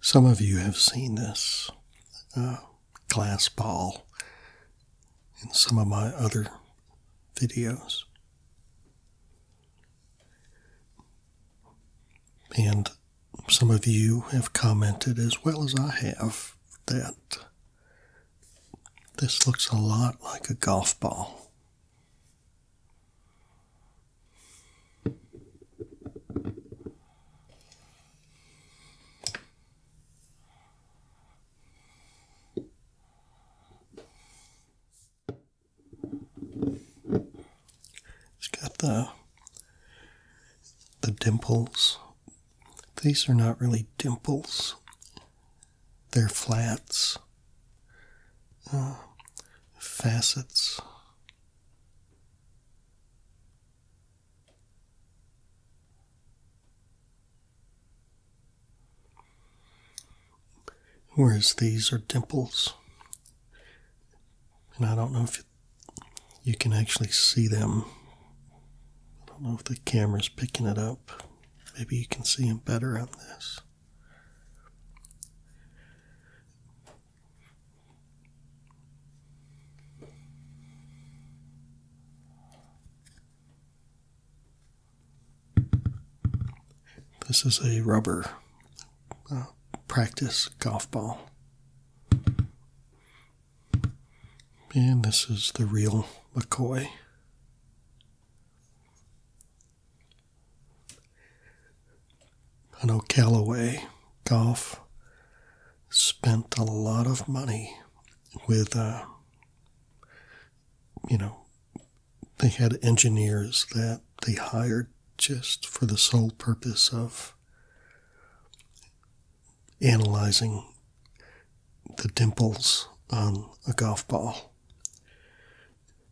Some of you have seen this uh, glass ball in some of my other videos. And some of you have commented, as well as I have, that this looks a lot like a golf ball. It's got the the dimples. These are not really dimples. They're flats, uh, facets. Whereas these are dimples. And I don't know if you can actually see them. I don't know if the camera's picking it up. Maybe you can see them better on this. This is a rubber uh, practice golf ball. And this is the real McCoy. I know Callaway Golf spent a lot of money with, uh, you know, they had engineers that they hired just for the sole purpose of analyzing the dimples on a golf ball.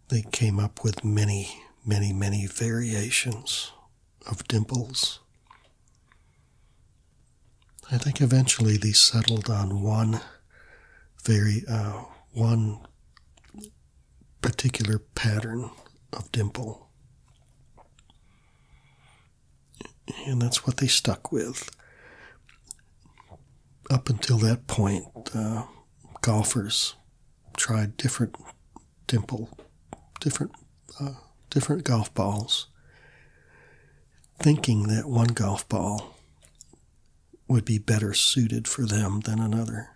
They came up with many, many, many variations of dimples I think eventually they settled on one very uh, one particular pattern of dimple. And that's what they stuck with. Up until that point, uh, golfers tried different dimple, different, uh, different golf balls, thinking that one golf ball would be better suited for them than another.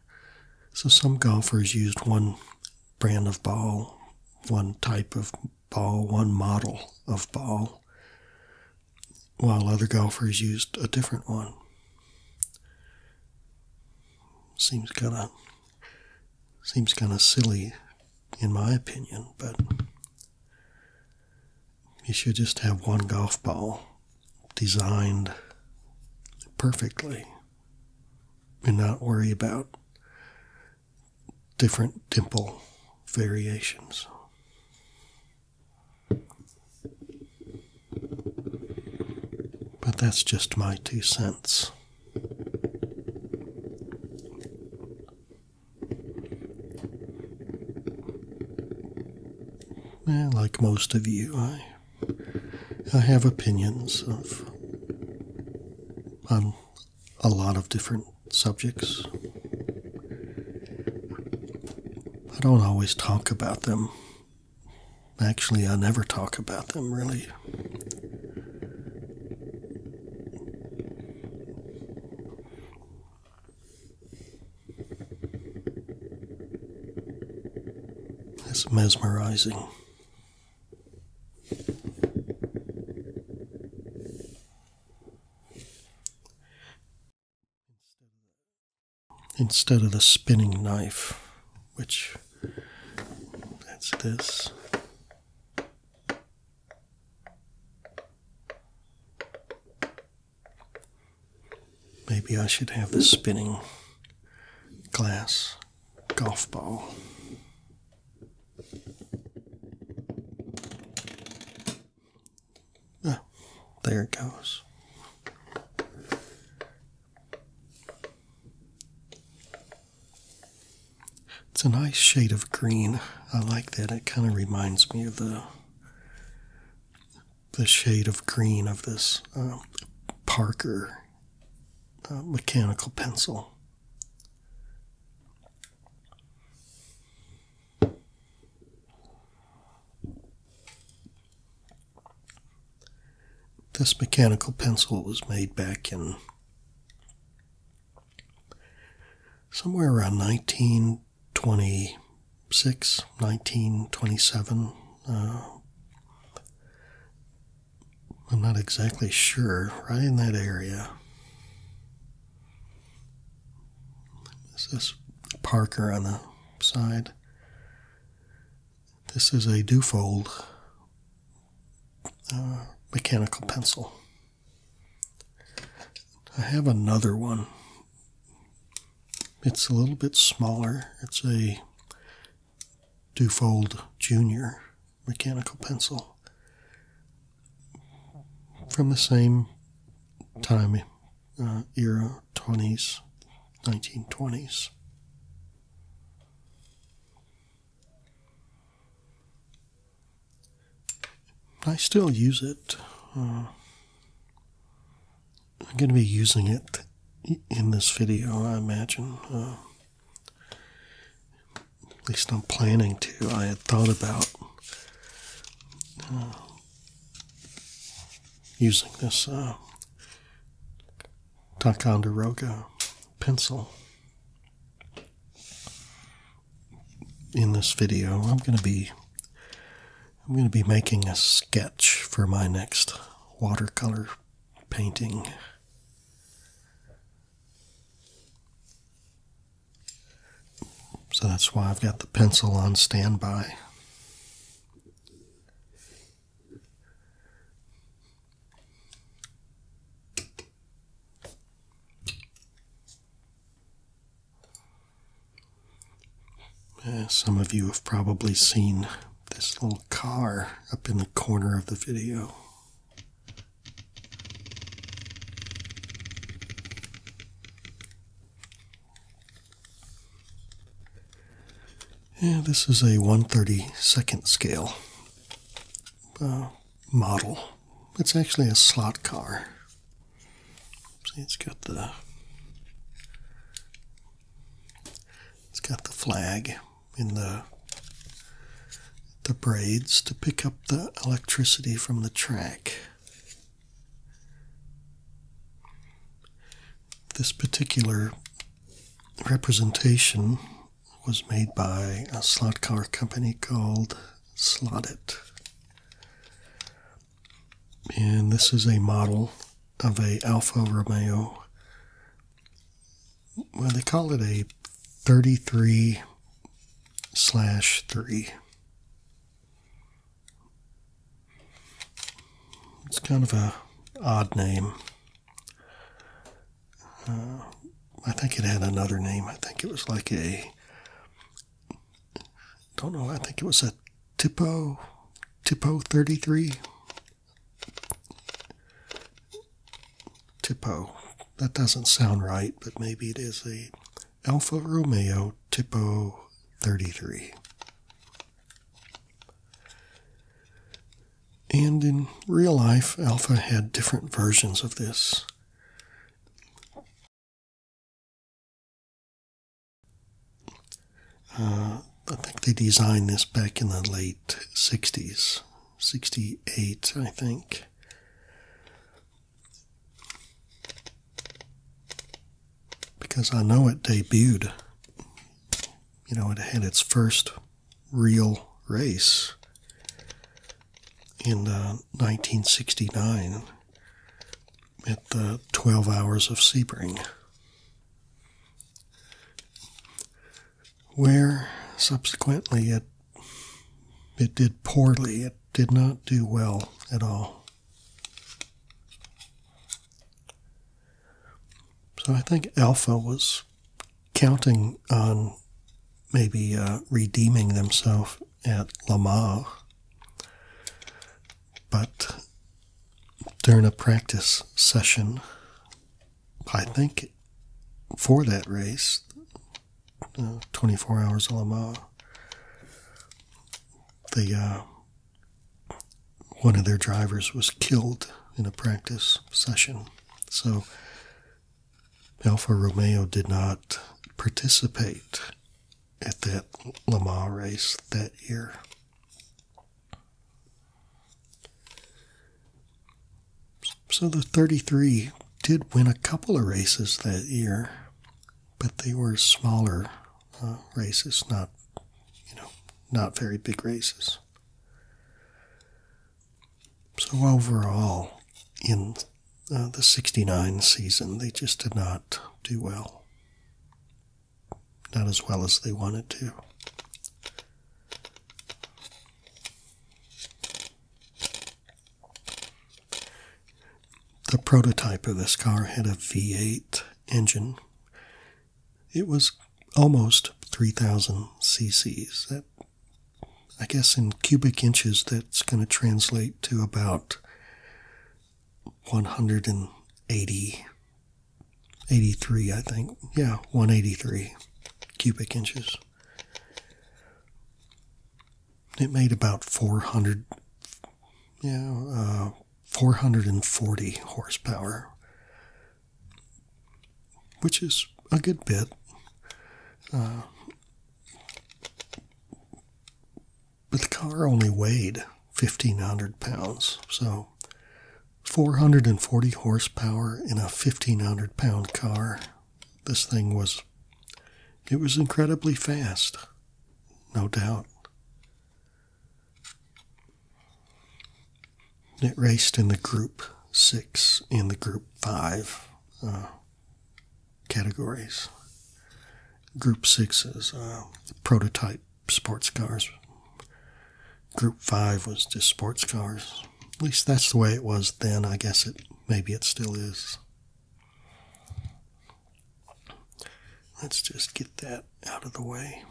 So some golfers used one brand of ball, one type of ball, one model of ball, while other golfers used a different one. Seems kind of Seems kind of silly, in my opinion, but you should just have one golf ball designed perfectly and not worry about different dimple variations. But that's just my two cents like most of you, I I have opinions of on um, a lot of different subjects. I don't always talk about them. Actually, I never talk about them really you. It's mesmerizing. Instead of the spinning knife, which that's this. Maybe I should have the spinning glass golf ball. Ah, there it goes. It's a nice shade of green. I like that. It kind of reminds me of the the shade of green of this um, Parker uh, mechanical pencil. This mechanical pencil was made back in somewhere around 1926, 1927. Uh, I'm not exactly sure, right in that area. Is this Parker on the side? This is a Dufold uh, mechanical pencil. I have another one. It's a little bit smaller. It's a Dufold Junior mechanical pencil from the same time uh, era, 20s, 1920s. I still use it. Uh, I'm going to be using it in this video, I imagine. Uh, at least I'm planning to. I had thought about uh, using this uh, Ticonderoga pencil in this video, I'm going to be I'm going to be making a sketch for my next watercolor painting. So that's why I've got the pencil on standby some of you have probably seen this little car up in the corner of the video. this is a 132nd scale uh, model. It's actually a slot car. See, it's got the it's got the flag in the the braids to pick up the electricity from the track. This particular representation was made by a slot car company called Slotit. And this is a model of a Alfa Romeo. Well, they call it a 33 slash 3. It's kind of a odd name. Uh, I think it had another name. I think it was like a. Don't know. I think it was a Tipo, Tipo thirty three. Tipo. That doesn't sound right, but maybe it is a Alfa Romeo Tipo thirty three. And in real life, Alfa had different versions of this. Uh, I think they designed this back in the late 60s, 68, I think. Because I know it debuted, you know, it had its first real race in 1969 uh, at the 12 hours of Sebring, where subsequently it, it did poorly. It did not do well at all. So I think Alpha was counting on maybe uh, redeeming themselves at Le Mans, but during a practice session, I think for that race, uh, 24 hours of Le Mans, the uh, one of their drivers was killed in a practice session. So Alfa Romeo did not participate at that Le Mans race that year. So the 33 did win a couple of races that year, but they were smaller uh, races, not, you know, not very big races. So, overall, in uh, the 69 season, they just did not do well. Not as well as they wanted to. The prototype of this car had a V8 engine. It was almost 3,000 cc's. That I guess in cubic inches, that's going to translate to about 180, 83, I think. Yeah, 183 cubic inches. It made about 400, yeah, uh, 440 horsepower, which is a good bit. Uh, but the car only weighed 1,500 pounds, so 440 horsepower in a 1,500 pound car. This thing was, it was incredibly fast, no doubt. It raced in the group six and the group five. Uh, categories. Group 6 is uh, prototype sports cars. Group 5 was just sports cars. At least that's the way it was then. I guess it maybe it still is. Let's just get that out of the way.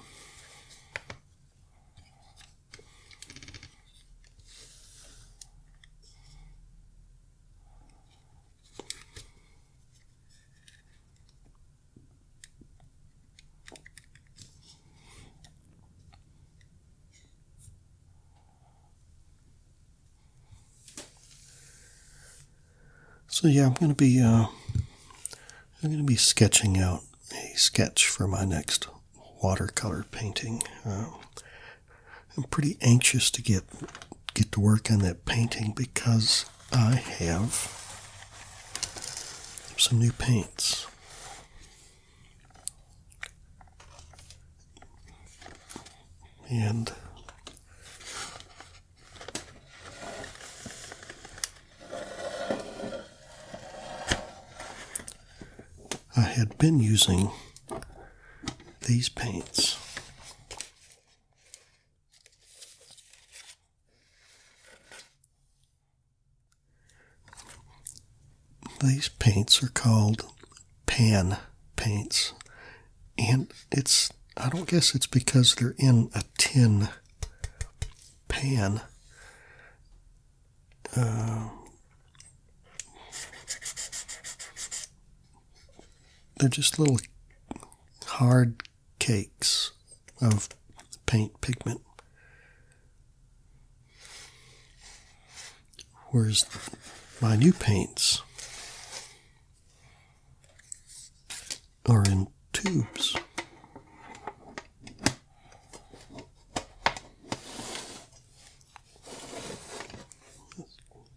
So yeah, I'm gonna be uh, I'm gonna be sketching out a sketch for my next watercolor painting. Um, I'm pretty anxious to get get to work on that painting because I have some new paints. And I had been using these paints. These paints are called pan paints, and it's I don't guess it's because they're in a tin pan. Uh, they're just little hard cakes of paint pigment. Whereas my new paints are in tubes.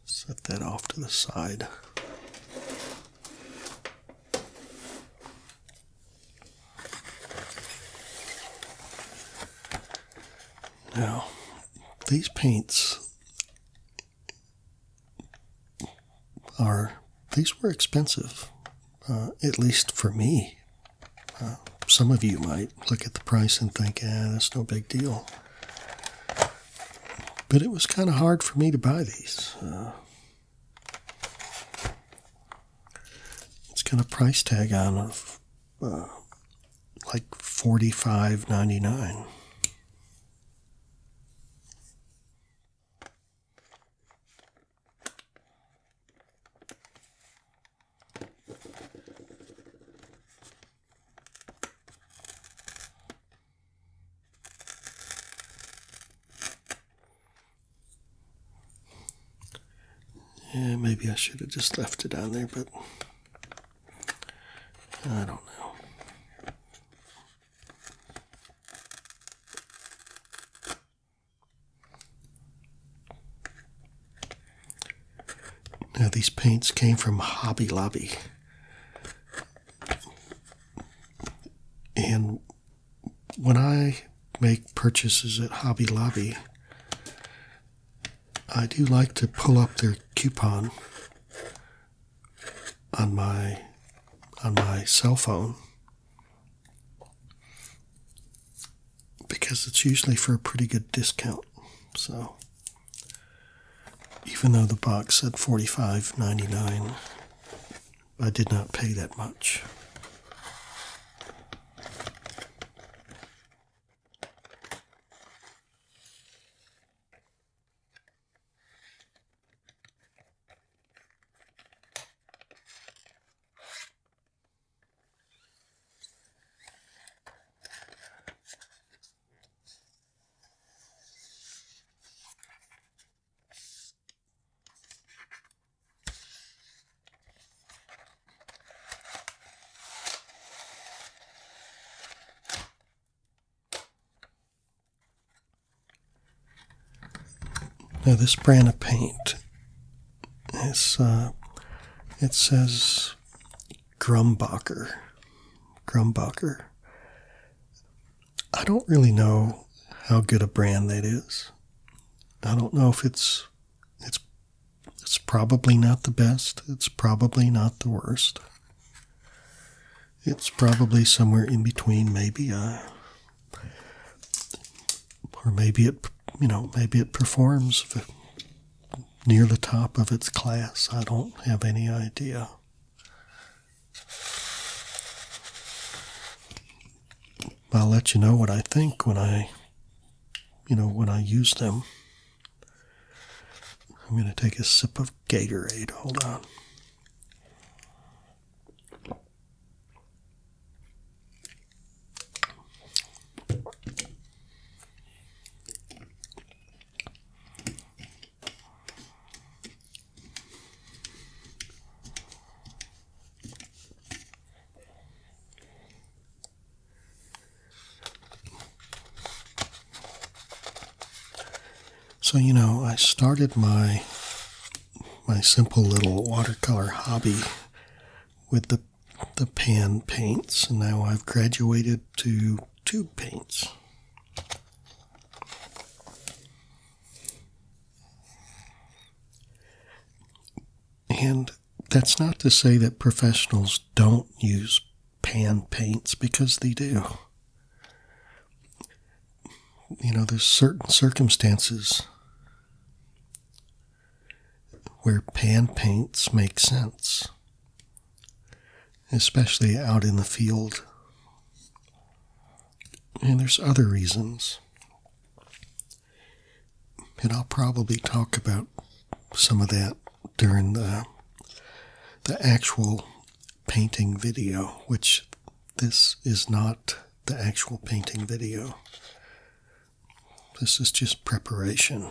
Set that off to the side. Now, these paints are, these were expensive, uh, at least for me. Uh, some of you might look at the price and think, eh, that's no big deal. But it was kind of hard for me to buy these. Uh, it's got a price tag on of uh, like $45.99. Yeah, maybe I should have just left it down there, but I don't know. Now, these paints came from Hobby Lobby. And when I make purchases at Hobby Lobby, I do like to pull up their coupon on my on my cell phone because it's usually for a pretty good discount. So even though the box said $45.99, I did not pay that much. Now this brand of paint, it's, uh, it says Grumbacher. Grumbacher. I don't really know how good a brand that is. I don't know if it's it's it's probably not the best. It's probably not the worst. It's probably somewhere in between, maybe. Uh, or maybe it, you know, maybe it performs near the top of its class. I don't have any idea. I'll let you know what I think when I, you know, when I use them. I'm going to take a sip of Gatorade. Hold on. So you know, I started my my simple little watercolor hobby with the the pan paints, and now I've graduated to tube paints. And that's not to say that professionals don't use pan paints because they do. You know, there's certain circumstances where pan paints make sense especially out in the field. And there's other reasons. And I'll probably talk about some of that during the the actual painting video, which this is not the actual painting video. This is just preparation.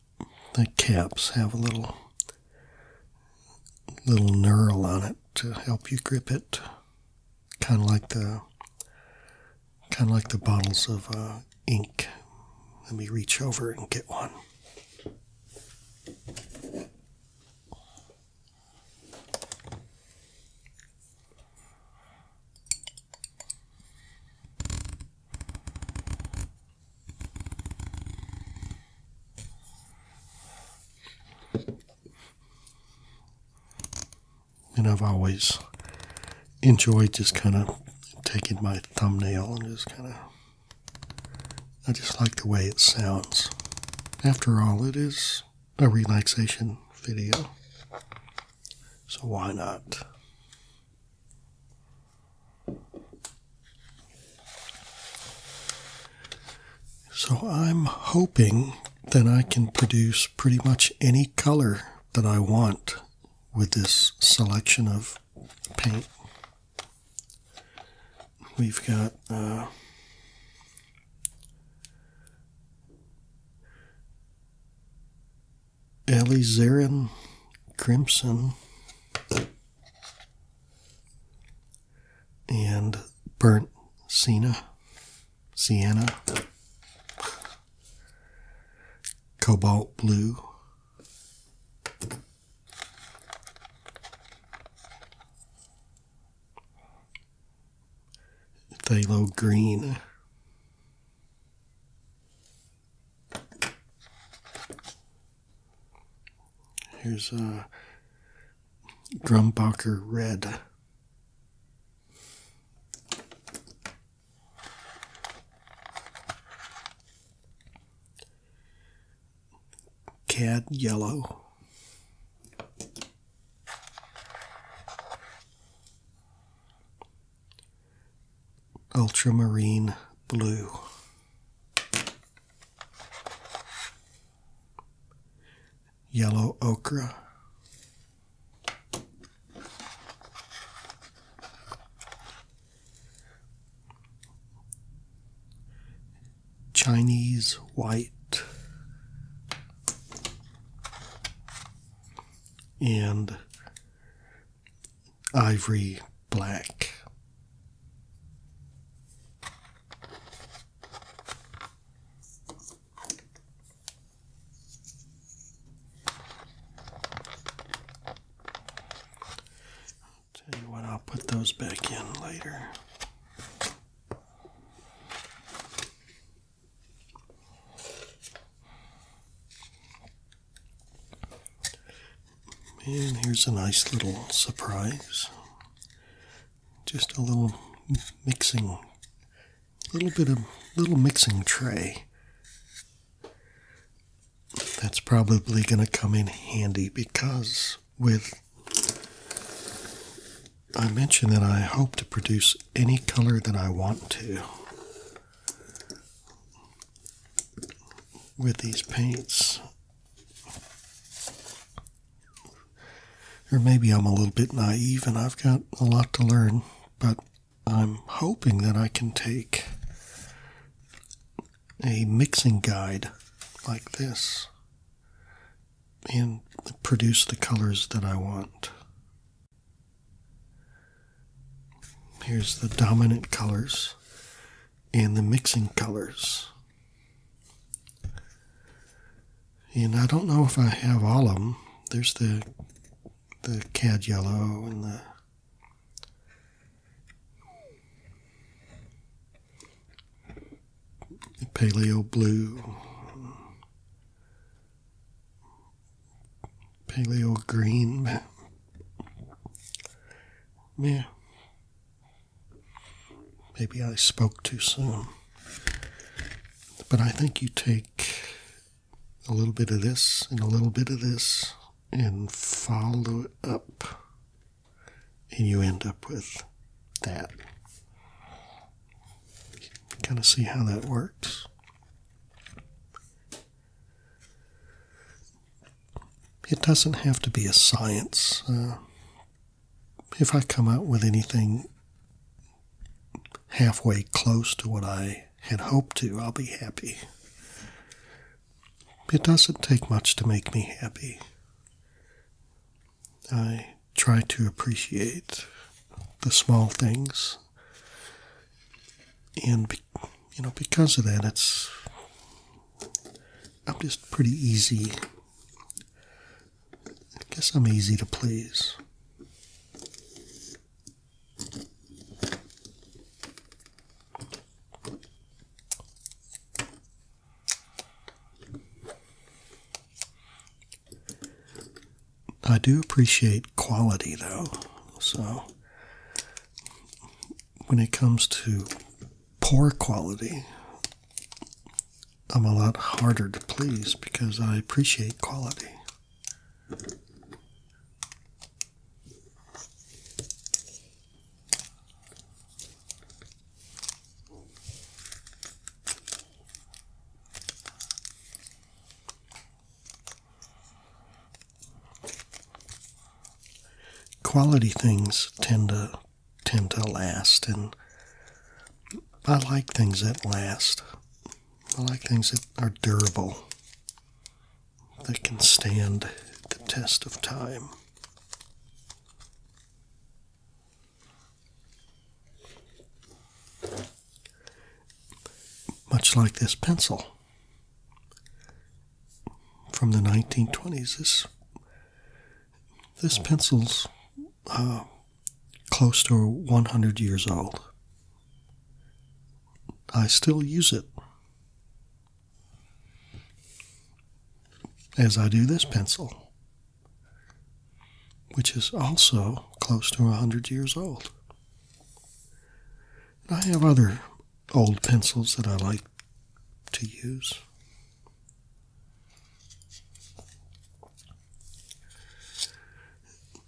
the caps have a little little nurl on it to help you grip it, kind of like the kind of like the bottles of uh, ink. Let me reach over and get one. And I've always enjoyed just kind of taking my thumbnail and just kind of. I just like the way it sounds. After all, it is a relaxation video. So why not? So I'm hoping that I can produce pretty much any color that I want with this selection of paint. We've got uh, Crimson and burnt sienna, sienna, cobalt blue, phthalo green. Here's a uh, Drumbacher Red. Cad Yellow. Ultramarine Blue yellow okra, Chinese white, and ivory black. I'll tell you what, I'll put those back in later. And here's a nice little surprise. Just a little mixing, little bit of little mixing tray. That's probably going to come in handy because with I mentioned that I hope to produce any color that I want to with these paints. Or maybe I'm a little bit naive and I've got a lot to learn, but I'm hoping that I can take a mixing guide like this and produce the colors that I want. Here's the dominant colors and the mixing colors. And I don't know if I have all of them. There's the the cad yellow and the paleo blue, paleo green. Yeah, Maybe I spoke too soon. But I think you take a little bit of this and a little bit of this and follow it up, and you end up with that. Kind of see how that works. It doesn't have to be a science. Uh, if I come out with anything halfway close to what I had hoped to, I'll be happy. It doesn't take much to make me happy. I try to appreciate the small things. And, you know, because of that, it's. I'm just pretty easy I guess I'm easy to please. I do appreciate quality though, so when it comes to poor quality, I'm a lot harder to please because I appreciate quality. Quality things tend to tend to last, and I like things that last. I like things that are durable, that can stand the test of time. Much like this pencil from the 1920s, this this pencil's uh, close to 100 years old. I still use it. As I do this pencil, which is also close to 100 years old. I have other old pencils that I like to use.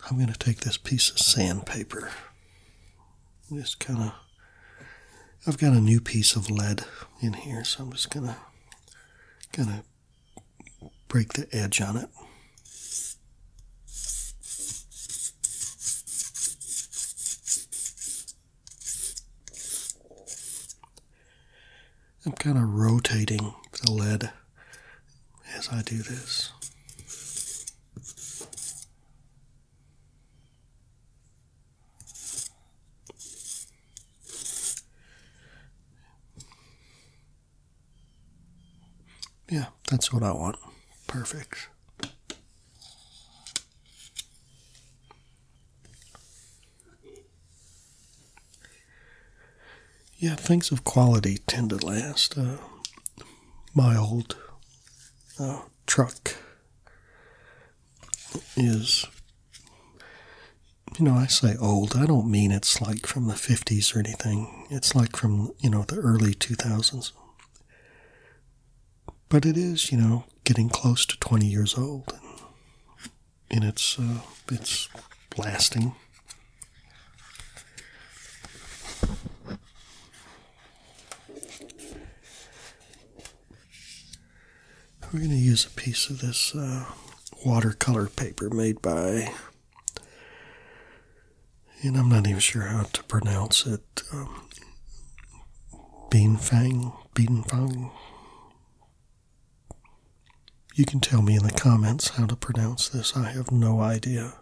I'm going to take this piece of sandpaper. Just kind of, I've got a new piece of lead in here, so I'm just going to kind of break the edge on it. I'm kind of rotating the lead as I do this. Yeah, that's what I want. Perfect. Yeah, things of quality tend to last. Uh, my old uh, truck is, you know, I say old. I don't mean it's like from the 50s or anything. It's like from, you know, the early 2000s. But it is, you know, getting close to 20 years old. And its uh, its blasting. We're going to use a piece of this uh, watercolor paper made by, and I'm not even sure how to pronounce it. Um, Bean Fang, Bean Fang. You can tell me in the comments how to pronounce this. I have no idea.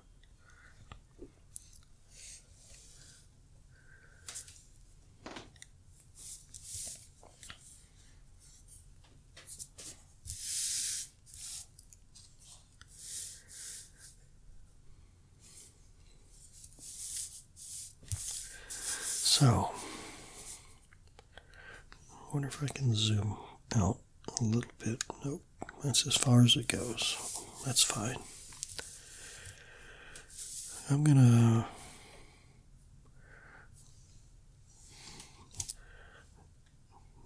So, I wonder if I can zoom out a little bit. Nope, that's as far as it goes. That's fine. I'm gonna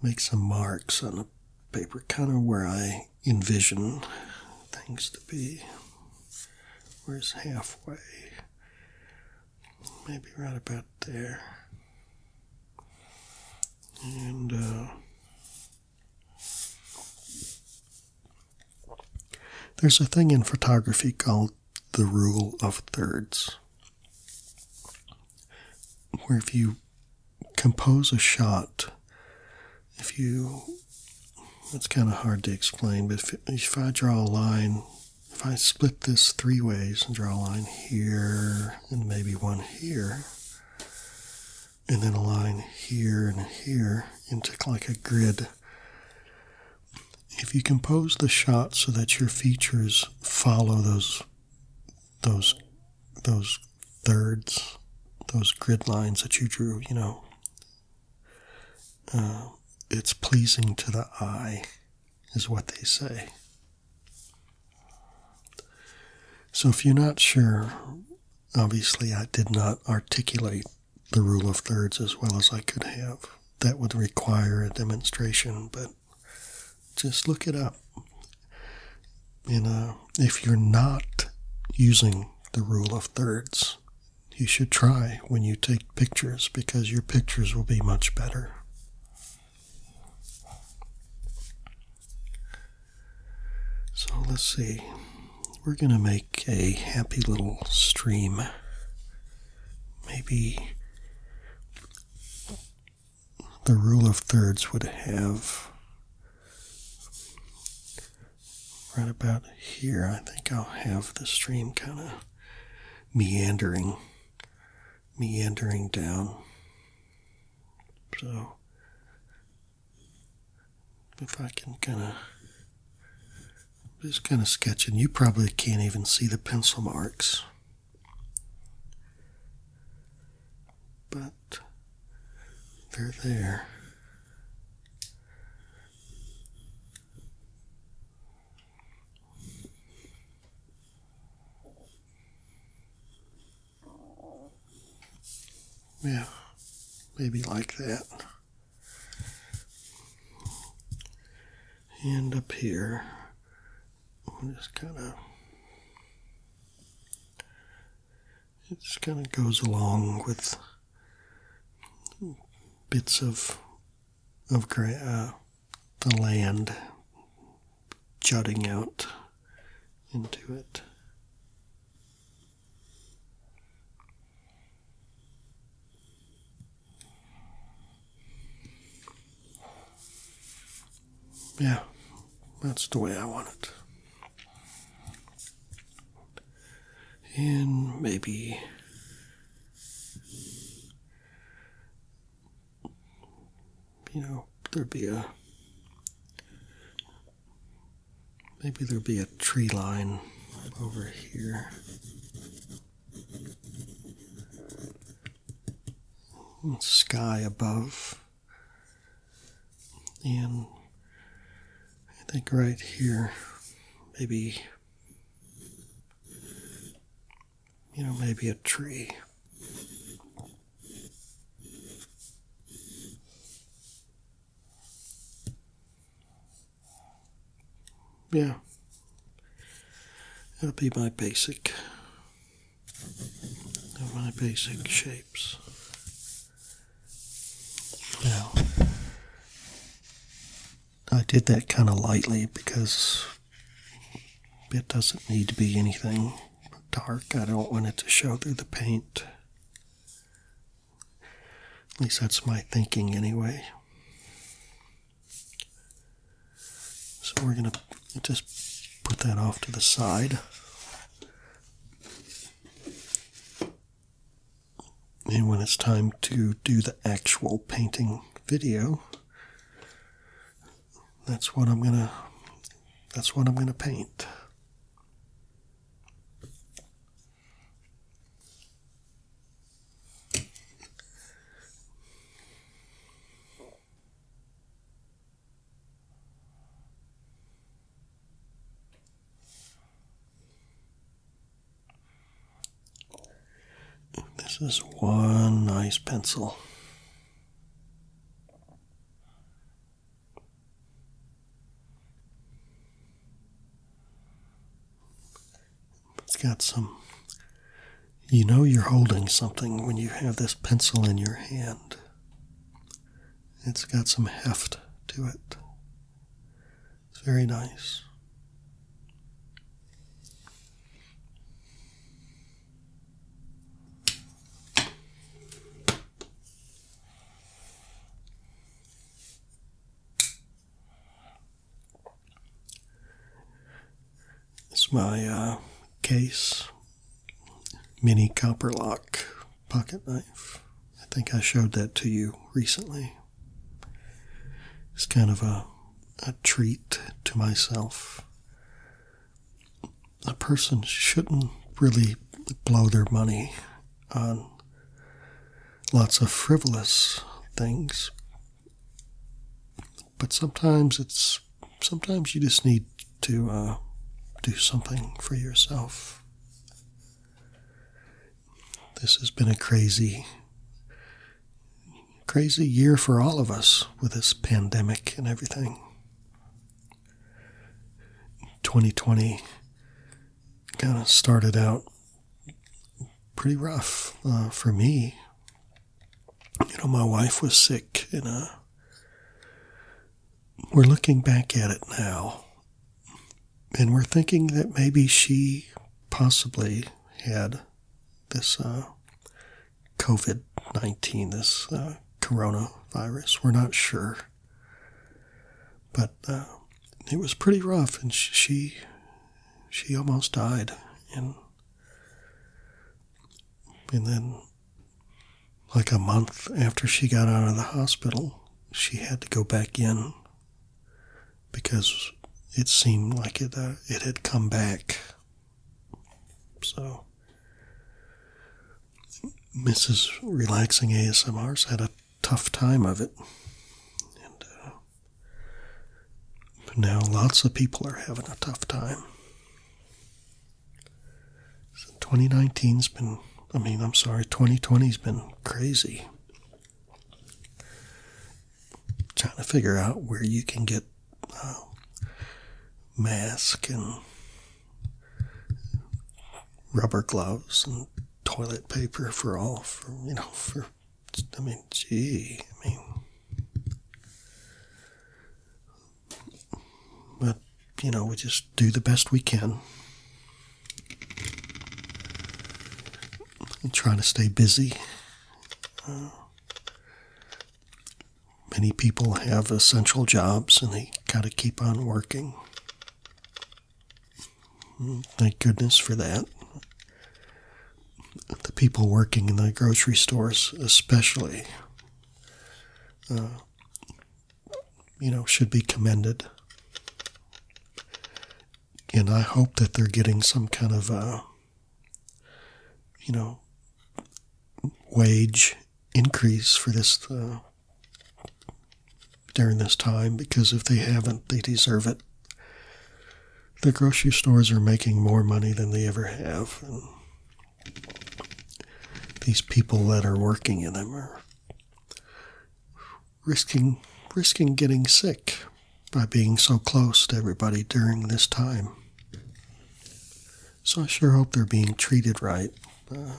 make some marks on the paper, kind of where I envision things to be. Where's halfway? maybe right about there. And uh, there's a thing in photography called the rule of thirds, where if you compose a shot, if you it's kind of hard to explain, but if, if I draw a line if I split this three ways and draw a line here and maybe one here, and then a line here and here into like a grid. If you compose the shot so that your features follow those those those thirds, those grid lines that you drew, you know, uh, it's pleasing to the eye is what they say. So if you're not sure, obviously I did not articulate the rule of thirds as well as I could have. That would require a demonstration, but just look it up. You know, if you're not using the rule of thirds, you should try when you take pictures because your pictures will be much better. So let's see. We're going to make a happy little stream. Maybe the rule of thirds would have right about here. I think I'll have the stream kind of meandering meandering down so if i can kind of just kind of sketching you probably can't even see the pencil marks but they're there yeah, maybe like that. And up here, just kind of, it just kind of goes along with bits of of uh, the land jutting out into it. Yeah, that's the way I want it. And maybe you know, there'd be a maybe there'd be a tree line over here. Sky above, and I think right here, maybe you know, maybe a tree. Yeah. That'll be my basic my basic shapes. Now I did that kind of lightly because it doesn't need to be anything dark. I don't want it to show through the paint. At least that's my thinking anyway. So we're going to just put that off to the side. And when it's time to do the actual painting video, that's what I'm gonna that's what I'm gonna paint. This is one nice pencil. It's got some. You know, you're holding something when you have this pencil in your hand. It's got some heft to it. It's very nice. It's my uh, case mini copper lock pocket knife. I think I showed that to you recently. It's kind of a a treat to myself. A person shouldn't really blow their money on lots of frivolous things. But sometimes it's sometimes you just need to uh, do something for yourself. This has been a crazy crazy year for all of us with this pandemic and everything. 2020 kind of started out pretty rough uh, for me. You know, my wife was sick, and uh, we're looking back at it now, and we're thinking that maybe she possibly had this uh, COVID 19, this uh, coronavirus. We're not sure. But uh, it was pretty rough, and she she almost died, and and then like a month after she got out of the hospital, she had to go back in because it seemed like it uh, it had come back so, Mrs. Relaxing ASMR's had a tough time of it. And but uh, now lots of people are having a tough time. 2019's been, I mean, I'm sorry, 2020's been crazy trying to figure out where you can get uh, mask and rubber gloves and toilet paper for all for you know for I mean gee I mean but you know we just do the best we can and trying to stay busy uh, Many people have essential jobs and they got to keep on working. Hmm, thank goodness for that. The people working in the grocery stores, especially, uh, you know, should be commended. And I hope that they're getting some kind of uh, you know, wage increase for this uh, during this time because if they haven't, they deserve it. The grocery stores are making more money than they ever have. And these people that are working in them are risking risking getting sick by being so close to everybody during this time. So I sure hope they're being treated right uh,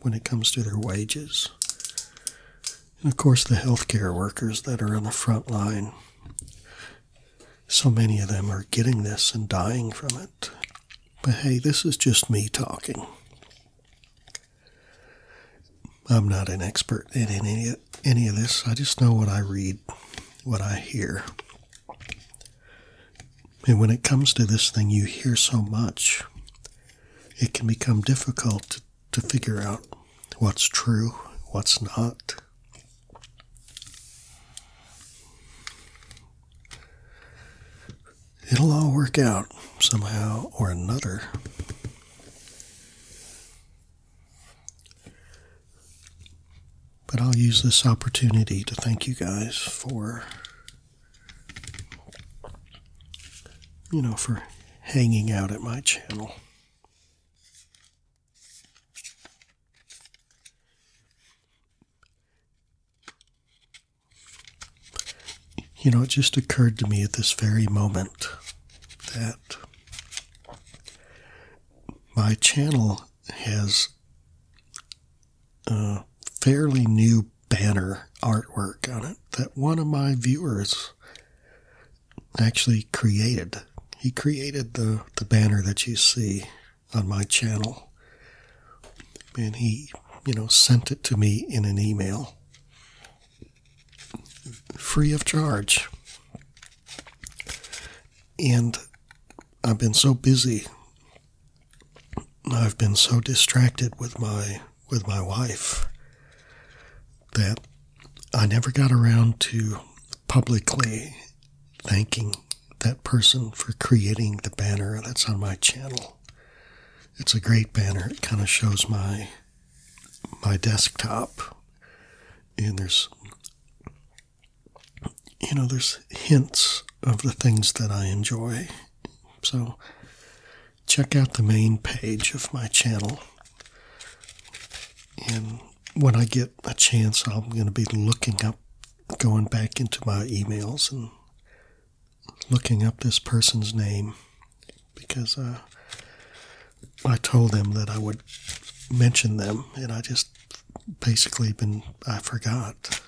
when it comes to their wages. And of course, the healthcare workers that are on the front line. So many of them are getting this and dying from it. But hey, this is just me talking. I'm not an expert in any, any of this. I just know what I read, what I hear, and when it comes to this thing, you hear so much, it can become difficult to figure out what's true, what's not. It'll all work out somehow or another. But I'll use this opportunity to thank you guys for, you know, for hanging out at my channel. You know, it just occurred to me at this very moment that my channel has a fairly new banner artwork on it that one of my viewers actually created. He created the, the banner that you see on my channel. And he, you know, sent it to me in an email free of charge. And I've been so busy. I've been so distracted with my with my wife that I never got around to publicly thanking that person for creating the banner that's on my channel. It's a great banner. It kind of shows my my desktop and there's you know, there's hints of the things that I enjoy. So check out the main page of my channel. And when I get a chance, I'm going to be looking up, going back into my emails and looking up this person's name because uh, I told them that I would mention them, and I just basically been, I forgot.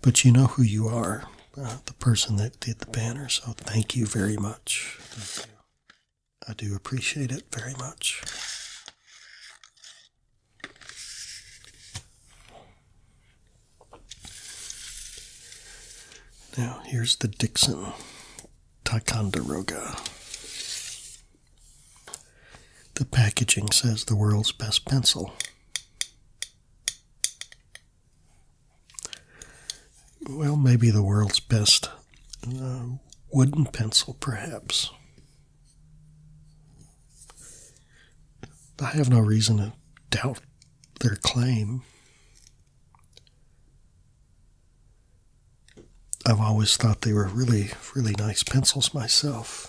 But you know who you are, uh, the person that did the banner, so thank you very much. I do appreciate it very much. Now, here's the Dixon Ticonderoga. The packaging says the world's best pencil. Well, maybe the world's best uh, wooden pencil, perhaps. I have no reason to doubt their claim. I've always thought they were really, really nice pencils myself.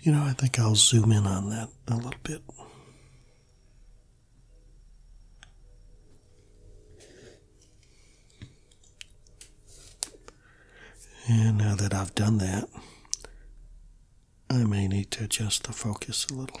You know, I think I'll zoom in on that a little bit. And now that I've done that, I may need to adjust the focus a little.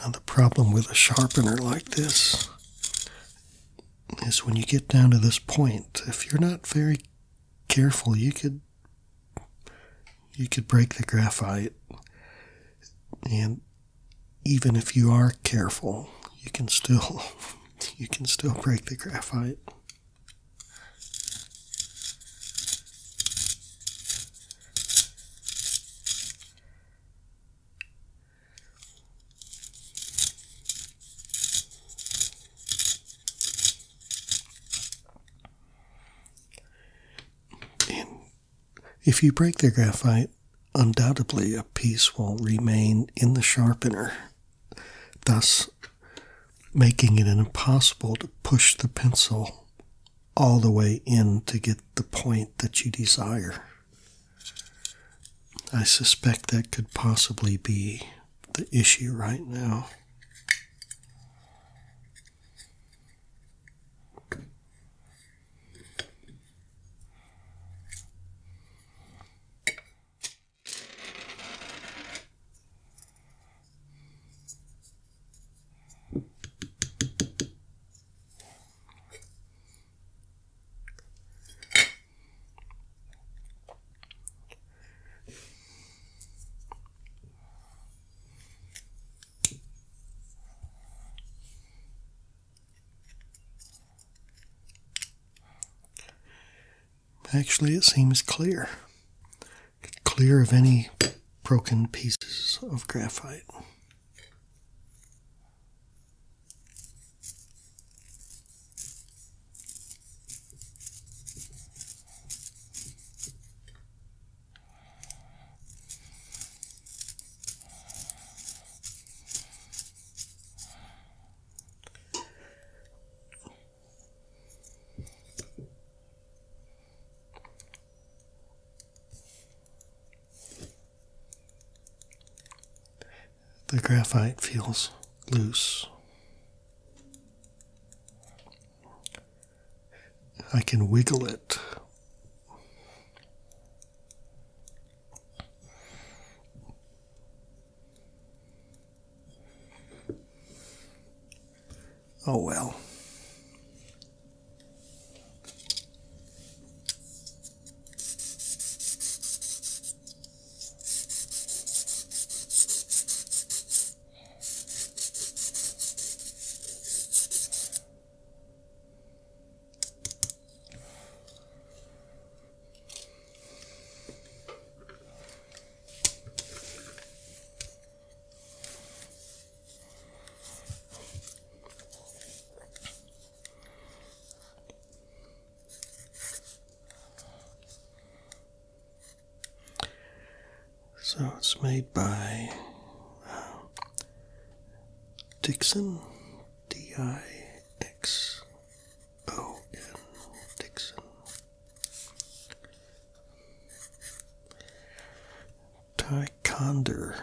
Now, the problem with a sharpener like this is when you get down to this point, if you're not very careful, you could you could break the graphite. And even if you are careful, you can still you can still break the graphite if you break the graphite, undoubtedly a piece will remain in the sharpener, thus making it impossible to push the pencil all the way in to get the point that you desire. I suspect that could possibly be the issue right now. Actually, it seems clear clear of any broken pieces of graphite. The graphite feels loose. I can wiggle it. Oh well. So it's made by uh, Dixon, D I X O N, Dixon. Ticonderoga.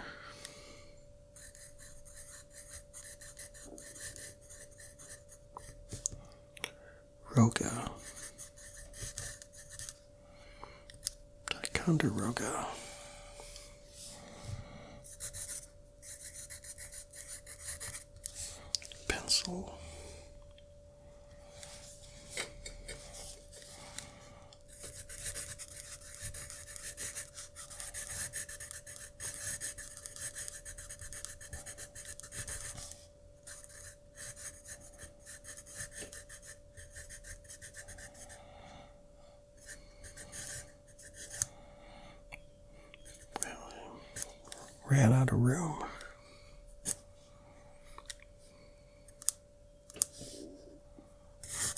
Ticonderoga. Pencil. Ran out of room.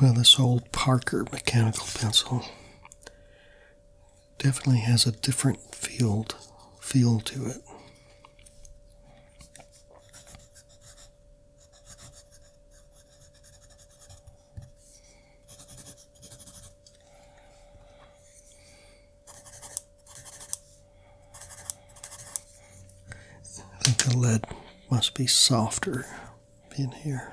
Well, this old Parker mechanical pencil definitely has a different field feel to it. I think the lead must be softer in here.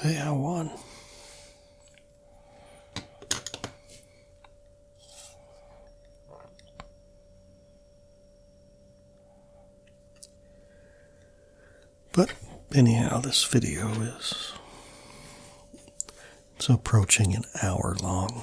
Hey, I won. But anyhow, this video is it's approaching an hour long.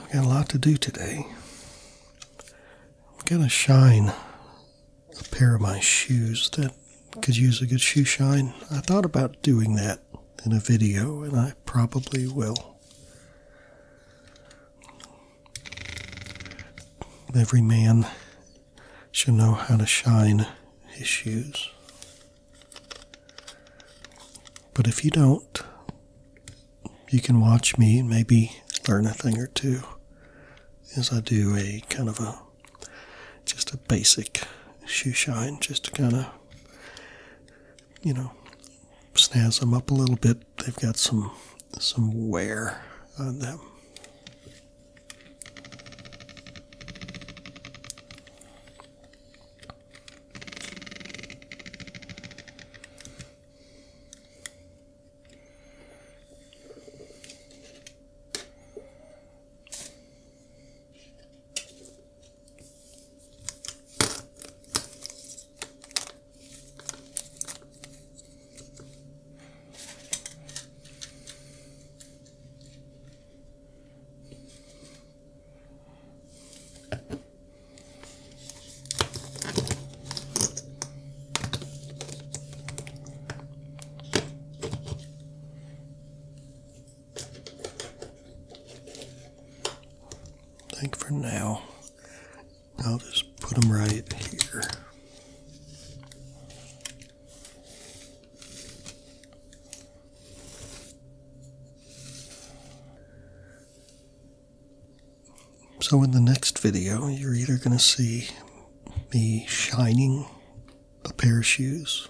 I've got a lot to do today. I'm going to shine a pair of my shoes that could use a good shoe shine. I thought about doing that in a video, and I probably will. Every man should know how to shine his shoes. But if you don't, you can watch me and maybe learn a thing or two as I do a kind of a just a basic shoe shine just to kind of you know snazz them up a little bit they've got some some wear on them. Thank think for now I'll just put them right here. So in the next video, you're either going to see me shining a pair of shoes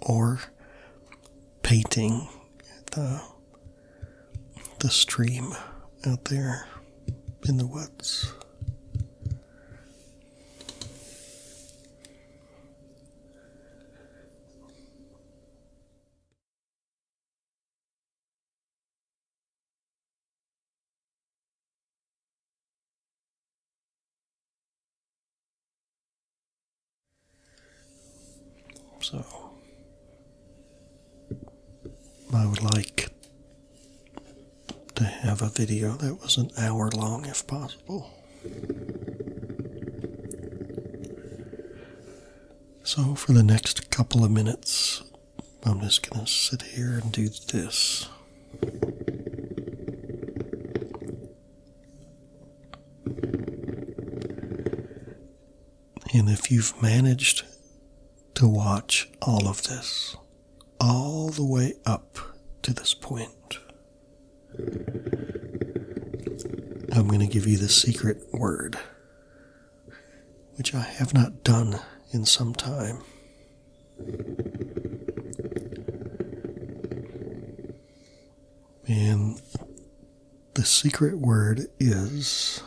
or painting the the stream out there in the woods. So I would like to have a video that was an hour long if possible. So, for the next couple of minutes, I'm just going to sit here and do this. And if you've managed to watch all of this, all the way up to this point, I'm going to give you the secret word, which I have not done in some time. And the secret word is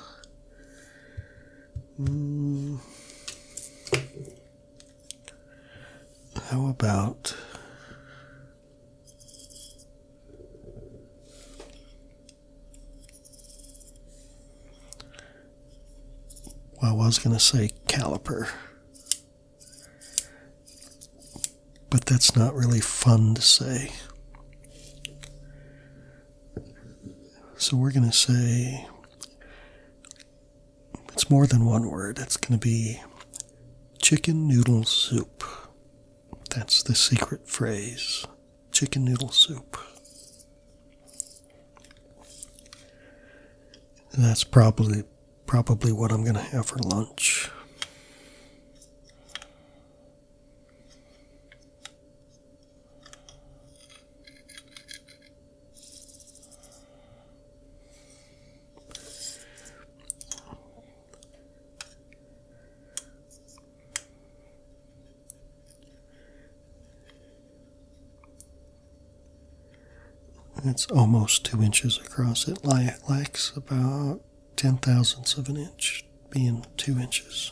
Mm. How about I was going to say caliper, but that's not really fun to say. So we're going to say it's more than one word. It's going to be chicken noodle soup. That's the secret phrase chicken noodle soup. that's probably probably what I'm going to have for lunch. It's almost two inches across. It lacks about ten thousandths of an inch, being two inches.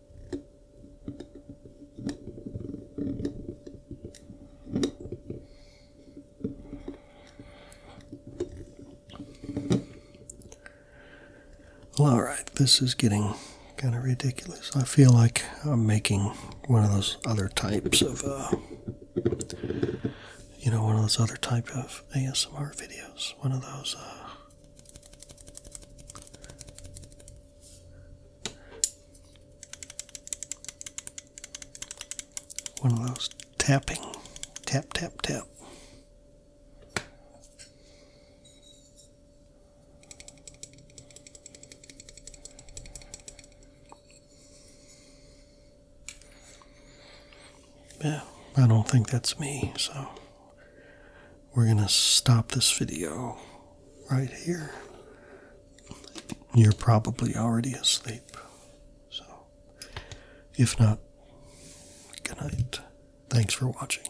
all right, this is getting kind of ridiculous. I feel like I'm making one of those other types of, uh, you know, one of those other type of ASMR videos. One of those. Uh, one of those tapping, tap, tap, tap. Yeah, I don't think that's me, so we're going to stop this video right here. You're probably already asleep. So, if not, good night. Thanks for watching.